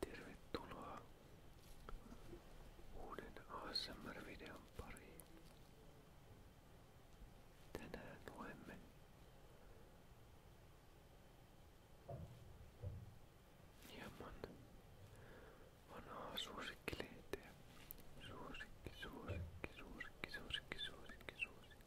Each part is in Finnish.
Tervetuloa uuden ASMR-videon pariin. Tänään luemme hieman vanhaa suosikkilehteä. Suosikki, suosikki, suosikki, suosikki, suosikki, suosikki.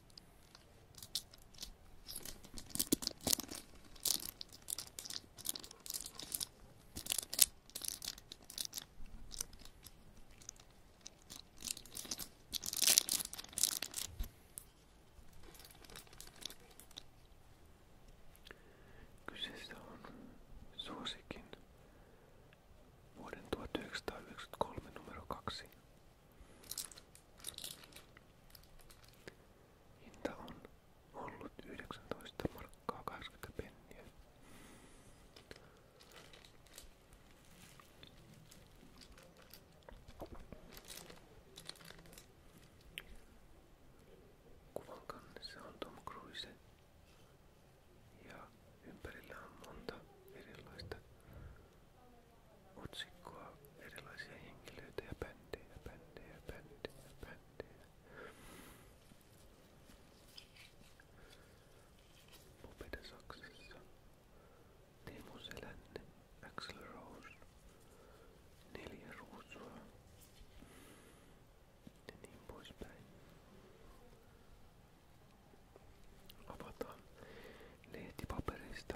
Kyseessä on suosikin vuoden 1993 numero 2 Hinta on ollut 19 markkaa 80 penniä. Kuvan kannessa on Tom Cruise ja ympärillä on monta erilaista otsikkoa erilaisia henkilöitä ja bändejä, bändejä, bändejä, bändejä. Mopede Saksassa, Teemu Selänne, Axel Rose, Neljä Ruusua ja niin poispäin. Avataan lehtipaperista.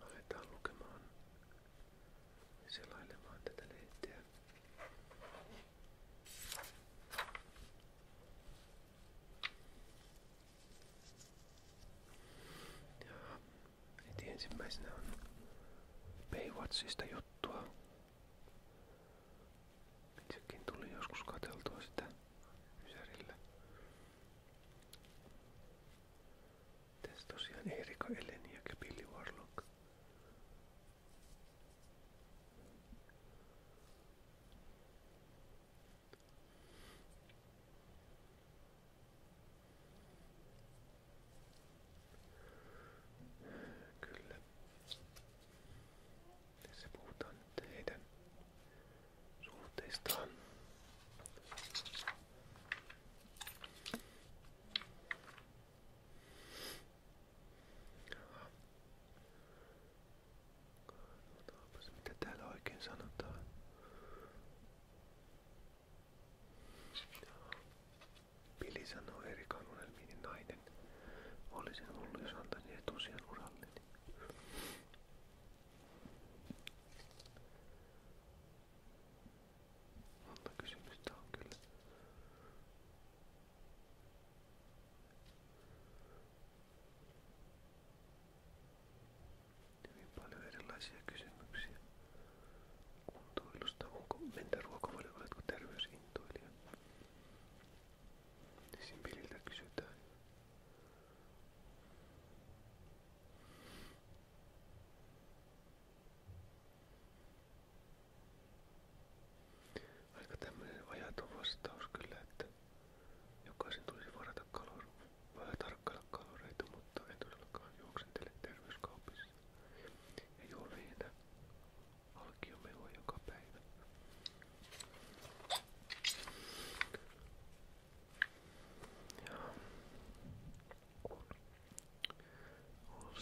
Aletaan lukemaan ja selailemaan tätä lehteä. Ja heti ensimmäisenä on Baywatchista juttua. Itsekin tuli joskus katseltua sitä Ysärillä. Tässä tosiaan Erika Eleniak ja Billy Warlock. Kyllä. Tässä puhutaan nyt heidän suhteistaan. Katsotaanpas mitä täällä oikein sanotaan. Joo. Pili sanoo Erikan unelmiini niin nainen. Olisin hullu, jos antaisin etusijan uralleni. Monta kysymystä on kyllä. Hyvin paljon erilaisia kysymyksiä. Kuntoilusta, onko mentä ruokavalio, oletko terveysintoilija? niin Simililtä kysytään. Aika tämmöinen ajaton vastaus kyllä, että jokaisen tulisi varata kalor, vähän tarkkailla kaloreita, mutta en todellakaan juoksentele terveyskaupissa. Ei ole viinä alkiomelu joka päivä. Ja All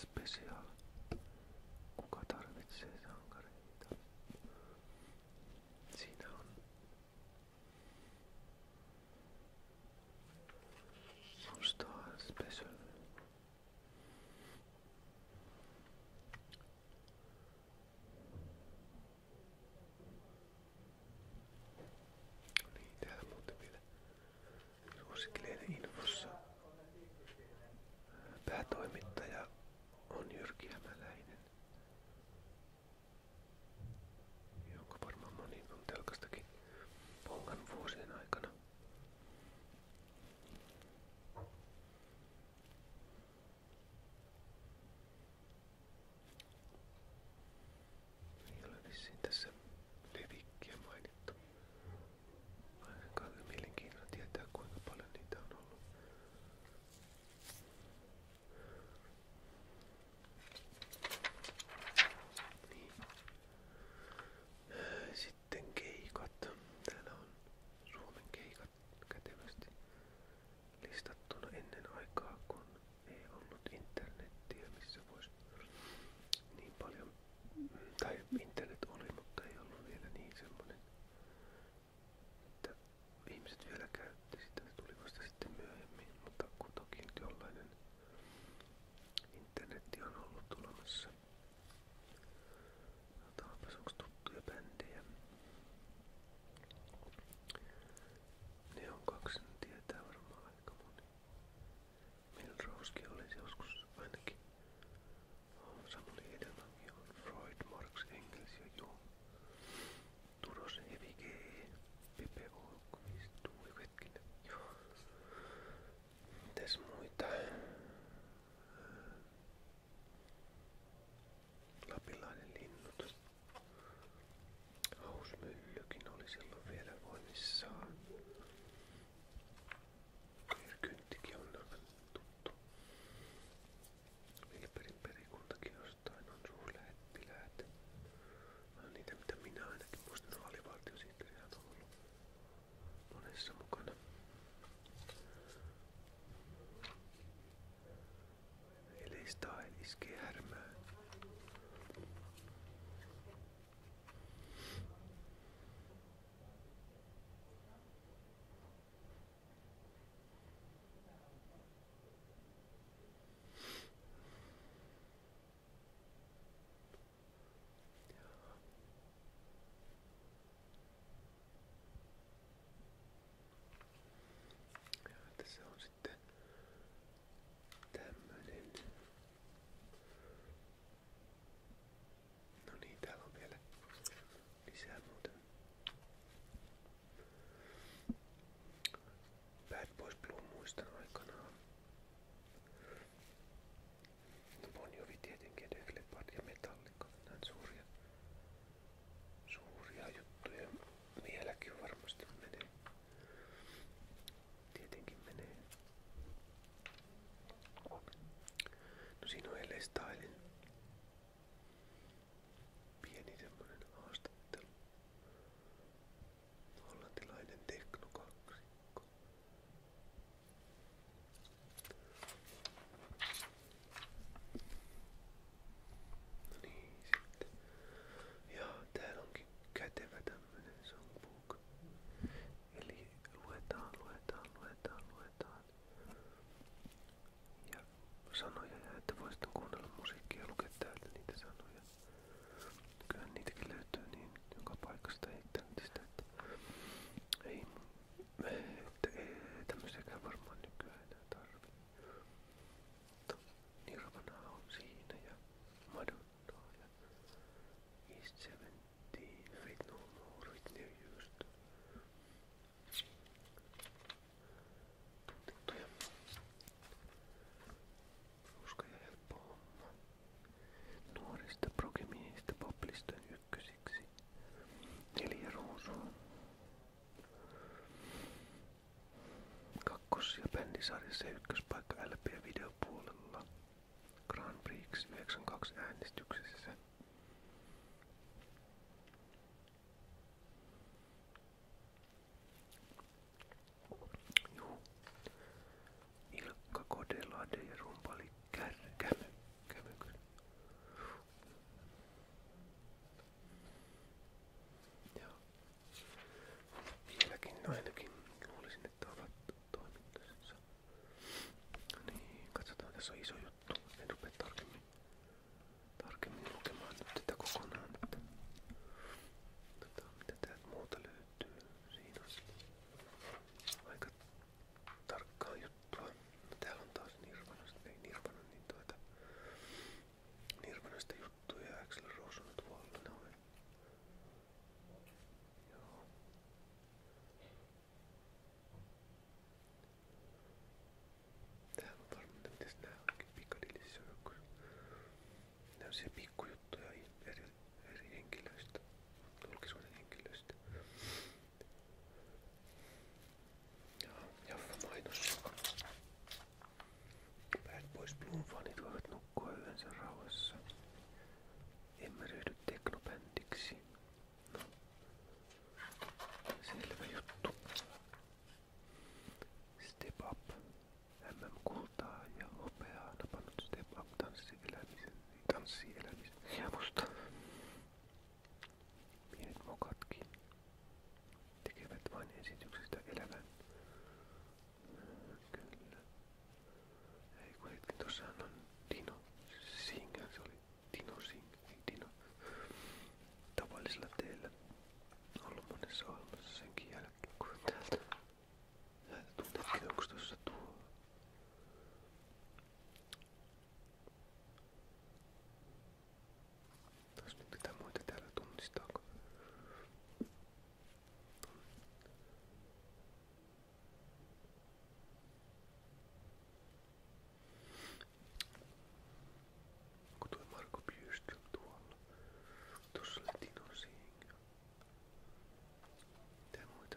Special. Kuka tarvitsee sankareita? Siinä on All Special. Niin, täällä muuten vielä infossa päätoimittaja on Jyrki Hämäläinen, jonka varmaan moni vuosien aikana. Ei ole vissiin tässä levikkiä mainittu. Ainakaan mielenkiinnolla tietää kuinka paljon niitä on ollut. Niin. Äh, sitten keikat. Täällä on Suomen keikat kätevästi listattuna ennen aikaa, kun ei ollut internettiä, missä voisi niin paljon, tai internet oli, mutta ei ollut vielä niin semmoinen, että ihmiset vielä käytti sitä, ne tuli vasta sitten myöhemmin, mutta kuitenkin jollainen internetti on ollut tulemassa. Katsotaanpas onks tuttuja bändejä. Ne on kaksi, ne tietää varmaan aika moni. Milroskin olisi joskus ainakin. Samuli Edelmankin on Freud, Marx, Engels ja Jung. Turos, Evike, Pepe Olkvist, Tuuli Vetkinen. Mitäs muita? Lapilainen linnut. Hausmyllykin oli silloin vielä voimissaan. Erkynttikin on aivan tuttu. Vilperin perikuntakin jostain on suurlähettiläät. Niitä mitä minä ainakin muistan, alivaltiosihteeriä on ollut monessa mukana. Eli iskee härmään. Ja tässä on sitten tämmönen. No niin, täällä on vielä lisää muuten. Bad Boys Blue muistan aikanaan. Mutta Bonjovi tietenkin, Deflepard ja Metallica, näin suuria, suuria juttuja. Vieläkin varmasti menee. Tietenkin menee. No siinä on L.A. Stylin pieni semmonen haastattelu. Hollantilainen teknokaksikko. No niin, sitten. Joo, täällä onkin kätevä tämmönen songbook. Eli luetaan, luetaan, luetaan, luetaan. Ja sanoja, että voi sitten kuunnella musiikkia ja lukea täältä niitä sanoja. Kyllähän niitäkin löytyy niin joka paikasta ei sitä, että ei että ei tämmöistäkään varmaan nykyään enää tarvi. Mutta Nirvana on siinä ja Madonna ja East 70, Faith No More, Whitney Houston. Tunnettuja. Ruska ykkösiksi. Neljä ruusua. Kakkos- ja bändisarjassa ja ykköspaikka LP-videopuolella. Grand Prix 92 äänestyksessä. Juu. Ilkka Kodelade ja rumpali Kärkämy chemical. Joo. Vieläkin no ainakin luulisin, että ovat toimintansa. Niin, katsotaan, tässä on iso juttu. En rupea tarkemmin, tarkemmin lukemaan nyt tätä kokonaan. Että, tota, mitä täältä muuta löytyy? Siinä on aika tarkkaa juttua. No täällä on taas Nirvanasta, ei Nirvana, niin tuota Nirvanasta juttuja ja Axel Rose on tuolla noin. Joo. Täällä on varmaan, että no, mitäs nää onkin Piccadilly Circus. Nää on siellä pikkujuttuja eri, eri henkilöistä, julkisuuden henkilöistä. Jaffa mainos. Päät pois Bloom-fanit voivat nukkua yönsä rauhassa. Emme ryhdy teknobändiksi. No. Selvä juttu. Step Up. MM-kultaa ja hopeaa napannut Step Up tanssielämisen, tanssielämisen hiemosta. Pienet mokatkin tekevät vain esityksestä elävän. Kyllä. Ei kun hetken, tossahan on Dino Sing, se oli Dino Sing, ei Dino. Tavallisella teillä ollut monessa ohjelmassa senkin jälkeen, kun täältä Tuntettiin, onko tuossa tuo tässä nyt mitä muita täällä tunnistaako? Onko tuo Marko Bjurström tuolla? Tuossa oli Tino Singh. Mitä muita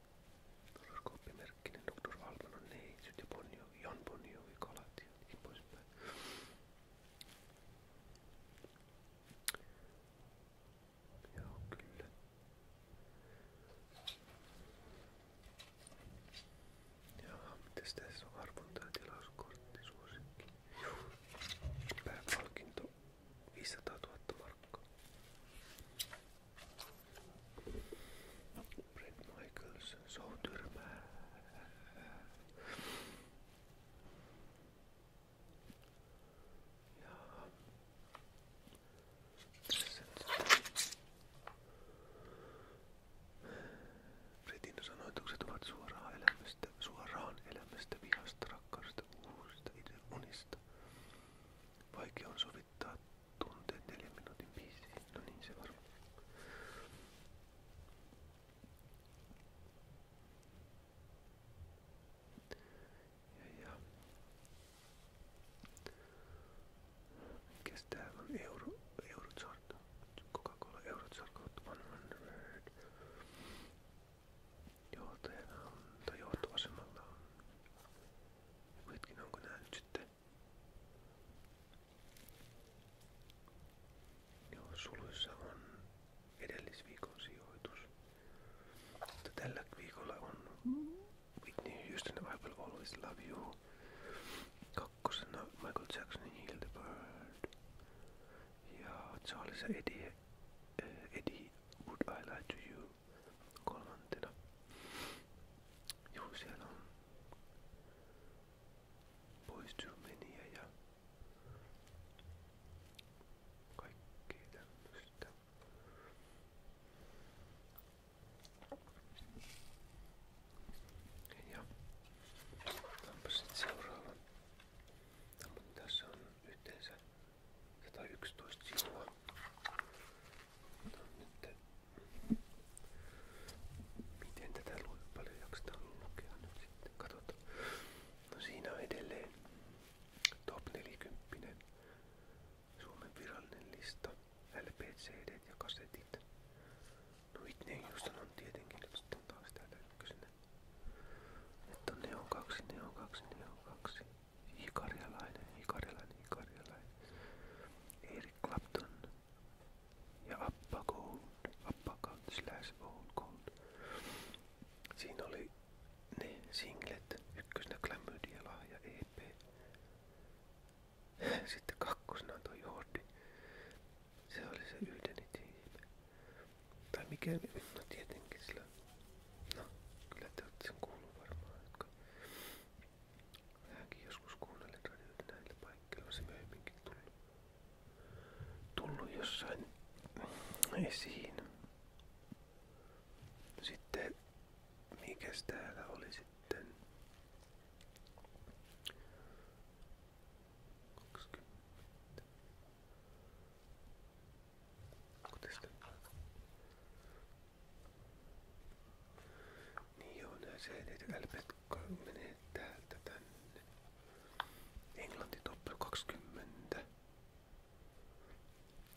Horoskooppi Merkkinen, Dr. Valmanon neitsyt ja Bonjovi, Jan Bonjovi, kalat ja niin poispäin. Joo, kyllä. Jaha, mitäs tässä on arvonta ja tilauskortti suosikki? Pääpalkinto 500 000 markkaa. Brett Michaels soutyrmää. Jaa. Tässä nyt. Bretin sanoitukset ovat suoraan elämästä, suoraan elämästä, vihasta, unista. Vaikea soittaa tunteet neljän minuutin biisi. No niin se varmaan. Ja, ja. Mikäs täällä on? Euro, Eurochart. Coca-Cola Eurochart kautta One Word. Johtajana on, tai johtovasemmalla on. Hetkinen, onko nää nyt sitten Joo, suluissa edellisviikon sijoitus. Mutta tällä viikolla on Whitney Houston I Will Always Love You. Kakkosena Michael Jacksonin Hildebird. Ja Charles Eddie, uh, Eddie Would I Lie To You kolmantena. Juu, siellä on poistumenia ja kaikkea tämmöistä. Ja onpa sitten seuraava. Mutta tässä on yhteensä 111 sivua. Nyt Miten tätä lue? Paljon jaksetaan lukea nyt sitten? Katsotaan. No siinä on edelleen top 40 Suomen virallinen lista. LP, CD ja kasetit. No Whitney Houston on tietenkin nyt sitten taas täällä ykkösenä. Että on Neon 2, Neon 2, Neon 2. Ikarialainen, ikarialainen, ikarialainen. Eric Clapton ja Appa Gold, Appa Gold slash Old Gold. Siinä oli ne singlet, ykkösenä Glamydia lahja EP. Sitten kakkosena on toi Jordi. Se oli se yhdeni tiimi. Tai mikä, no tietenkin sillä, no kyllä te olette sen kuullut varmaan, jotka Minäkin joskus kuunnelin radioita näillä paikkeilla, se myöhemminkin tullut, tullut jossain esiin. Sitten, mikäs täällä oli sitten? 20. Onko tästä? Niin joo, nää seilit LP menee täältä tänne. Englanti toppel 20.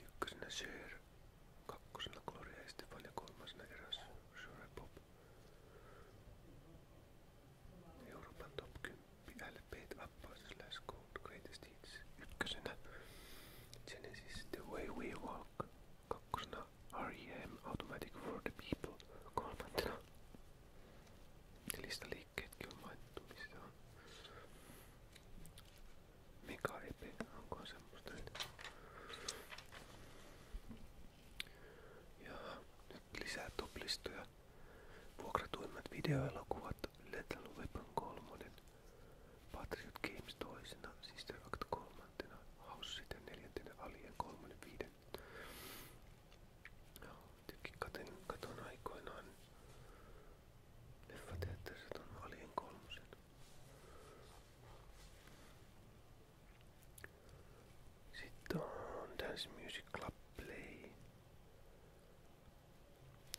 Ykkösenä Sir, kakkosena Gloria Estefan ja kolmasena eräs Sure Pop. Euroopan top 10 LP Appaus slash Gold Greatest Hits. Ykkösenä Genesis The Way We Walk kakkosena R.E.M. Automatic for the People, kolmantena. Lista liikkeetkin on mainittu, missä on. Mega Epe, onko semmoista nyt? Ja nyt lisää toplistoja. Vuokratuimmat videoelokuvat Little Weapon 3, Patriot Games toisena, Sister Act kolmantena, House sitten neljäntenä, Alien kolmannen viiden. Jotenkin katon, katon aikoinaan leffateatterissa ton Alien kolmosen. Sitten on Dance Music Club Play.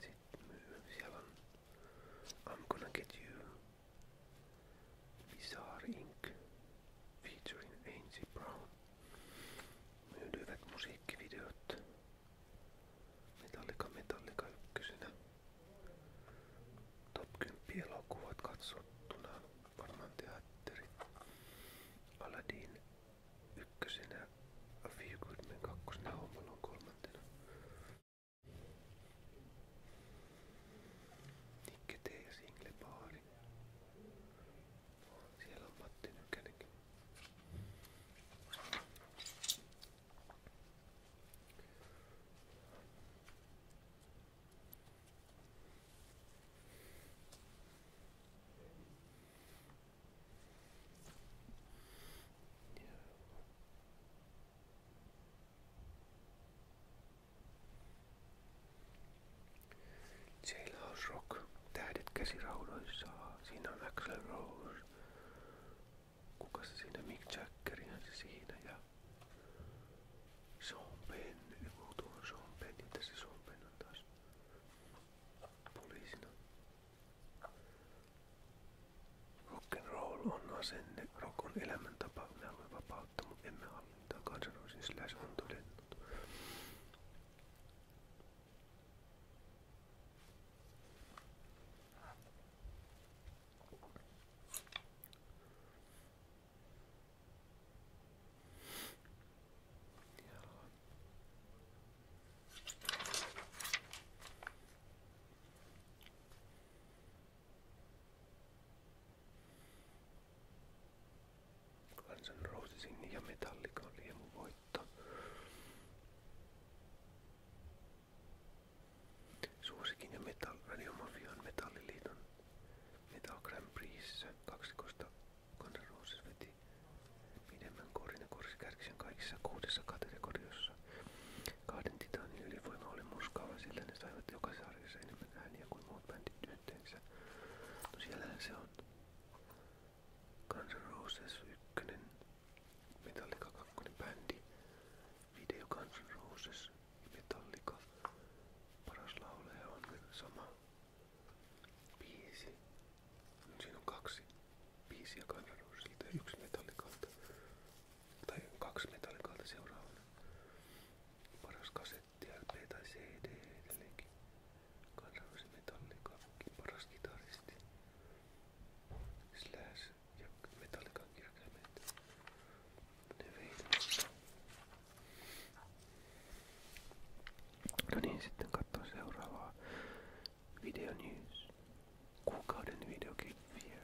Sitten siellä on I'm Gonna Get You. Bizarre Inc. featuring Ainsi Brown myydyivät musiikkivideot Metallica Metallica ykkösenä. Top 10 elokuvat katsottuna varmaan teatterit. Aladdin ykkösenä, A Few Good Men kakkosena, Home Alone kolmantena. Nikke T. Single-baari. Siellä on Matti Nykänenkin. Ja. Jailhouse Rock, tähdet käsiraudoissa. Siinä on Axel Rose. Kuka se siinä? Mick Jackerihan se siinä ja Sean Penn. Joku tuo on Sean Penn. Ja tässä Sean Penn on taas poliisina. Rock'n'roll on asenne, rock on elämäntapa, me haluamme vapautta, mutta emme hallintaa, kansanroisin siis Slash on todennut. Guns N' Rosesin ja Metallican liemuvoitto. Suosikin ja Metal, Radiomafian Metalliliiton Metal Grand Prixssä kaksikosta Guns N' Roses veti pidemmän korin ja korsi kärkisen kaikissa kuudessa kategoriassa. Kahden titaanin ylivoima oli murskaava, sillä ne saivat joka sarjassa enemmän ääniä kuin muut bändit yhteensä. No siellähän se on. Guns N' Roses 1, Metallica 2 bändi, video Guns N' Roses, Metallica, paras laulaja on sama biisi. Siinä on kaksi biisiä Guns N' Rosesilta ja yksi Metallicalta tai kaksi metallikaalta seuraavana. Paras kasetti, LP tai CD edelleenkin. Kansainvälisen metallikaakin paras kitaristi. Slash ja metallikan kirkaimet. Ne veitävät. No niin, sitten katsoa seuraavaa. Video News. Kuukauden videoklippien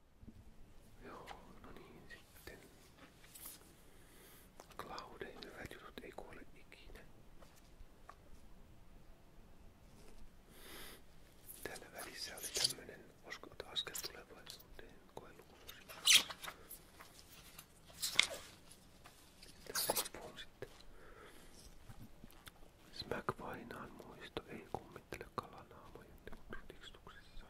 Joo, no niin sitten. Cloudin hyvät jutut ei kuole ikinä. Täällä välissä oli tämmönen askel tulevaisuuteen koelukuusi. Tässä on sitten. Smack Vainaan muisto ei kummittele kalanaamojen tikustuksessa.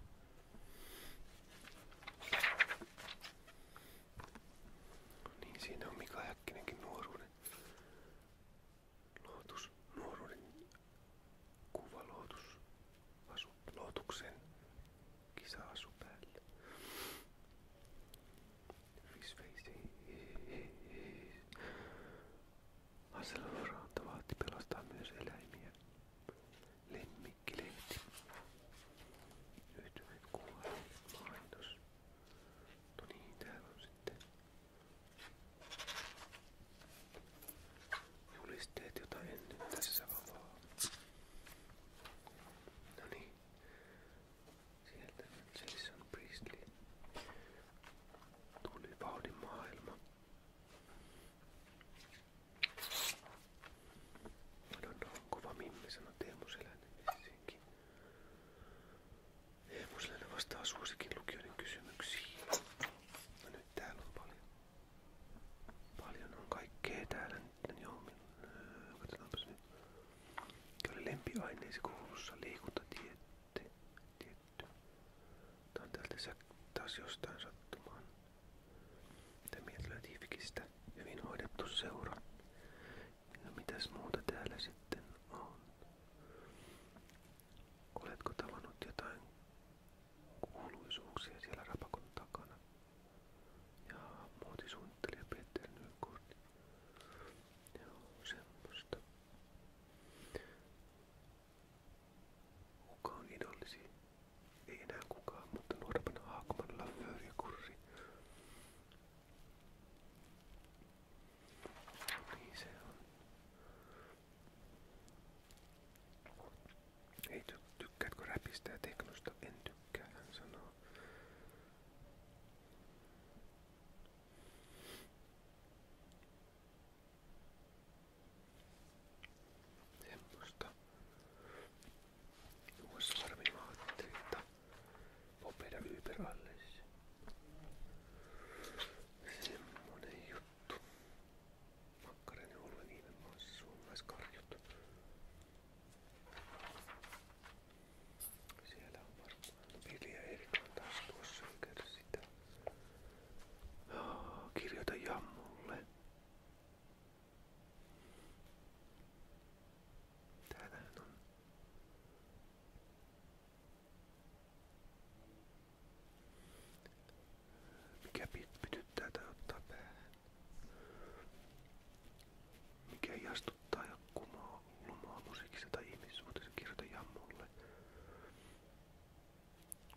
No niin siinä on Mika Häkkinenkin nuoruuden lootus, nuoruuden kuva lootus, asu, lootuksen kisa asu päälle. Risveisi. Aselvaranta vaati pelastaa myös eläimiä. Lemmikkilehti. Nyt kuvarit mainos. No niin, täällä on sitten julisteet, jota en nyt tässä avaa. No niin. Sieltä Jason Priestley. Tuli vauhdin maailma. Madonna on kova mimmi, sanoi Teemu vastaa suosikin lukijoiden kysymyksiin. No nyt täällä paljon. Paljon on kaikkea täällä nyt. Niin joo, öö, katsotaanpas nyt. Mikä oli lempiaineesi koulussa liikuntatiette? Tietty. Tää on täältä taas jostain sattumaan. Tämmöinen löytyy fikistä hyvin hoidettu seura. No mitäs muuta täällä sitten on? Oletko tavannut jotain kuuluisuuksia siellä rapakon takana? Ja muotisuunnittelija Peter Nykort. Joo, semmoista. Kuka on ei enää kukaan, mutta nuorempana Haakman, Laffer ja Kurri. Niin se on. Ei ty tykkäätkö räpistä ja teknosta? En tykkää, hän sanoo semmoista uusvarmivaatteita Popeda Überallis semmonen juttu makkarinen oluen niiden maassa suomalaiskarjut siellä on varmaan Vilja Erika taas tuossa eikä sitä. Kirjoita Jammulle. Täällähän on. Mikä pytyttää tai ottaa päähän? Mikä jastuttaa ja kumoaa lumoa musiikissa tai ihmissuhteessa kirjoita jammulle?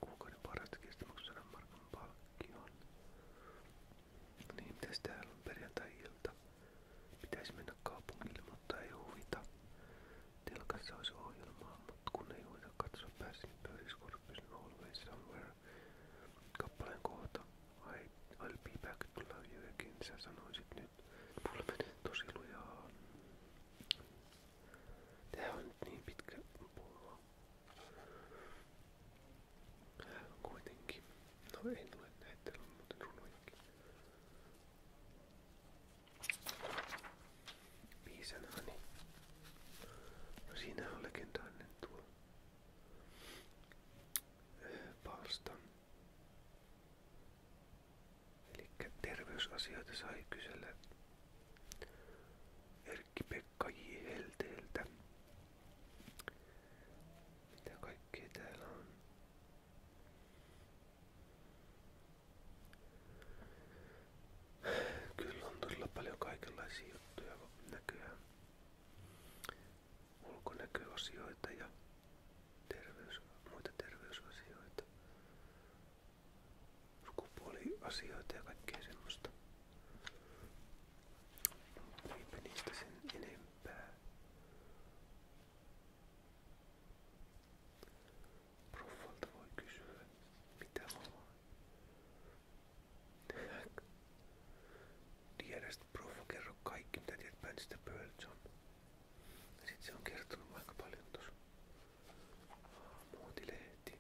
Kuukauden parasta kestämäksi sadan markan palkkion. Niin mitäs täällä on perjantai-ilta? Pitäisi mennä kaupungille, mutta ei huvita. Telkassa olisi ohjelmaa, mutta kun ei huvita katsoa pääsin pöydiskorppisen Always Somewhere kappaleen kohta. I, I'll be back to love you again, sä sanoisit nyt. Mulla menee tosi lujaa. Tää on nyt niin pitkä puhua. Kuitenkin. No ei tule näitä, on muuten runojakin. Piisanani. No siinä on legendaarinen tuo palstan. Eli terveysasioita sai kysellä Erkki-Pekka J. Helteeltä. Mitä kaikkea täällä on? Kyllä on todella paljon kaikenlaisia juttuja näköjään. Ulkonäköasioita ja terveys, muita terveysasioita. Sukupuoliasioita ja kaikkea semmoista. Eipä niistä sen enempää. Proffalta voi kysyä, mitä haluaa. Tiedästä proffa kerro kaikki, mitä tiedät bändistä Pearl Jam. Sitten se on kertonut aika paljon tuossa muotilehden heti.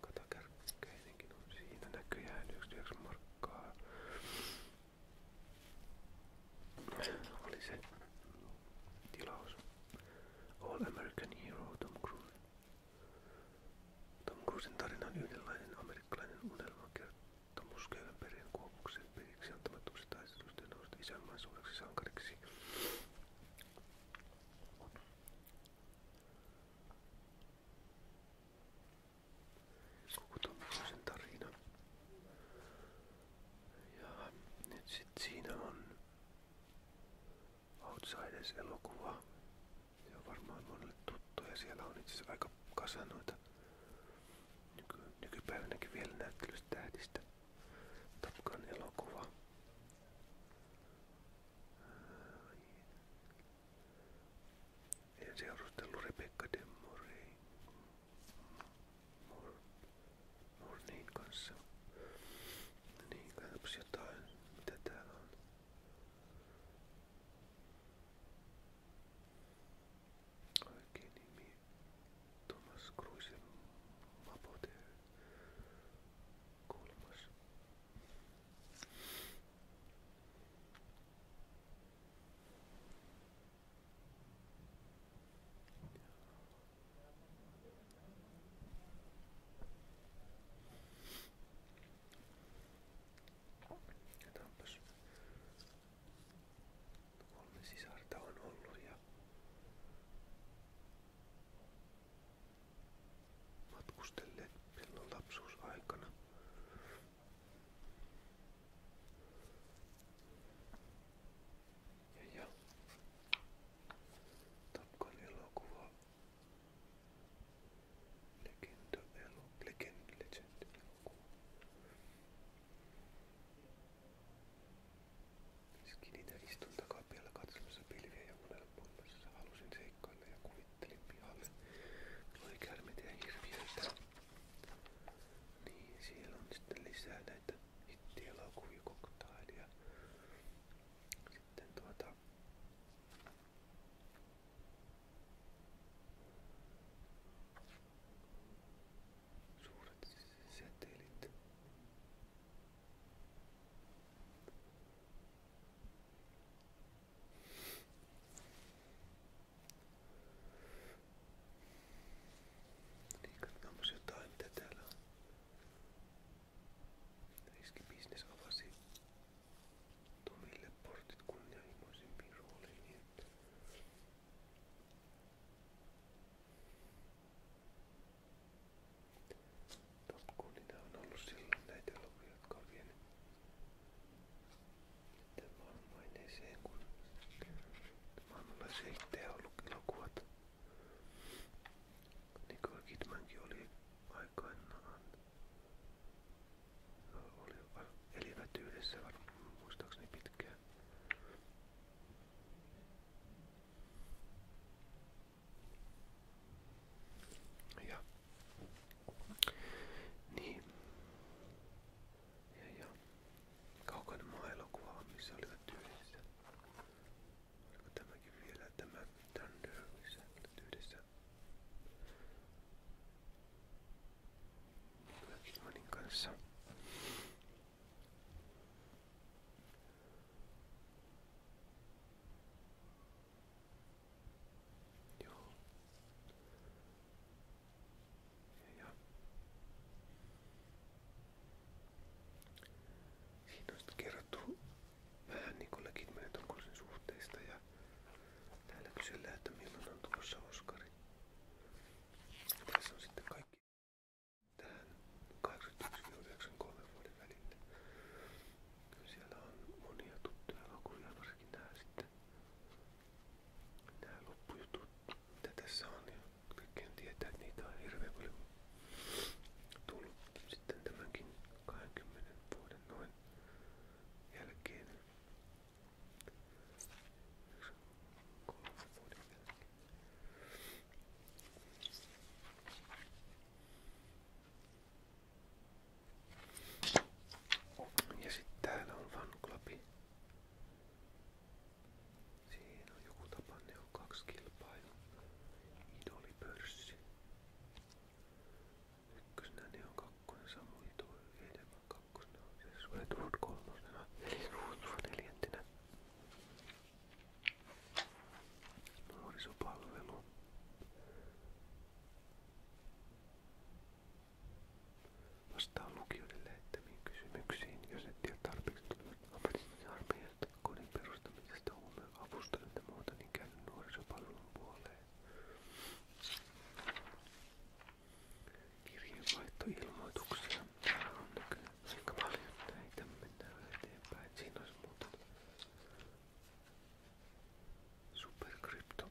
Katakärkkäinenkin on siinä näköjään 99 markkaa. Oli se tilaus. All American Hero Tom Cruise. Tom Cruisen tarina on yhdenlainen amerikkalainen unelmakertomus köyhän perheen kuopuksen periksi antamattomasta taistelusta ja nousta isänmaan suureksi sankariksi. Kutomuksen tarina. Ja nyt sit siinä on Outsiders-elokuva. Se on varmaan monelle tuttu ja siellä on itse asiassa aika kasa noita nyky, nykypäivänäkin vielä näyttelystä tähdistä. Tapkan elokuva. En seurustellut Rebecca de Morey, Mor, Mornein kanssa. Niin, katsotaan jotain, mitä täällä on. Oikein nimi Thomas Cruisen Mapote. Kolmas. Katsotaanpas. Kolme sisarta on ollut ja matkustelleet silloin lapsuusaikana. Ja, ja. Tapkan elokuva. Legenda elo, legend, legend elokuva. Skiditä siis istun takapialla katsomassa pilviä ja unelmoimassa. Halusin seikkailla ja kuvitella heittelin pihalle. Mulla oli kärmet ja hirviöitä. Niin, siellä on sitten lisää näitä hittielokuvia koktailia. Sitten tuota... Suuret setelit. Niin, onpas jotain, mitä täällä on. Riskibisnes avasi Tomille portit kunnianhimoisempiin rooliin. Niin Top Gunina on ollut silloin näitä elokuvia, jotka on vienyt Tämä on vain eseen, kun maailmanlaisia hittejä on ollut elokuvat. Nicole Kidmankin oli aikoinaan. No, oli, elivät yhdessä varmaan muistaakseni pitkään. Ja niin. Ja, ja. Kaukainen maa elokuva, missä olivat yhdessä. Oliko tämäkin vielä tämä Thunder, missä olivat yhdessä? Nicola Kidmanin kanssa. Joo. Ja, ja. Siinä on sitten kerrottu vähän niin kuin Legit suhteista ja täällä kysellään, että milloin on tulossa Oskari. Tässä on sitten kaikki tähän 81-93 vuoden välillä. Kyllä siellä on monia tuttuja elokuvia, varsinkin tää sitten Nämä loppujutut, mitä tässä on, ja niin kaikkien tietää, että niitä on hirveän paljon tullut sitten tämänkin 20 vuoden noin jälkeen. Vuoden jälkeen. Ja sitten täällä on fanklubi. Siinä on joku tapanne, on kaksi kilpailua. Idolipörssi. Ykkösenä ne on kakkonen, samoin tuo edemmä kakkosena on se Sweatwood kolmosena, eli Ruutsuva neljäntenä. Nuorisopalvelu. Vastaan lukijoiden lähettämiin kysymyksiin, jos et tiedä tarpeeksi ammatillisen armeijasta, kodin perustamisesta, huumeavustojen ja muuta, niin käy nuorisopalvelun puoleen. Kirjeenvaihtoilmoituksia. Täällä on näköjään aika paljon näitä. Mennään eteenpäin. Siinä olisi muuta. Superkrypto.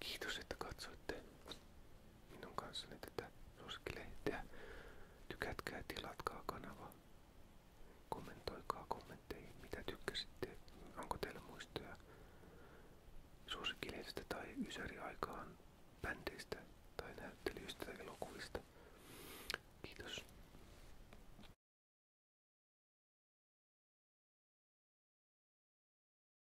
Kiitos, että katsoitte minun kanssani tätä suosikkilehteä. Tykätkää ja tilatkaa kanavaa. Kommentoikaa kommentteihin, mitä tykkäsitte. Onko teillä muistoja suosikkilehdestä tai ysäriaikaan bändeistä tai näyttelyistä tai elokuvista. Kiitos.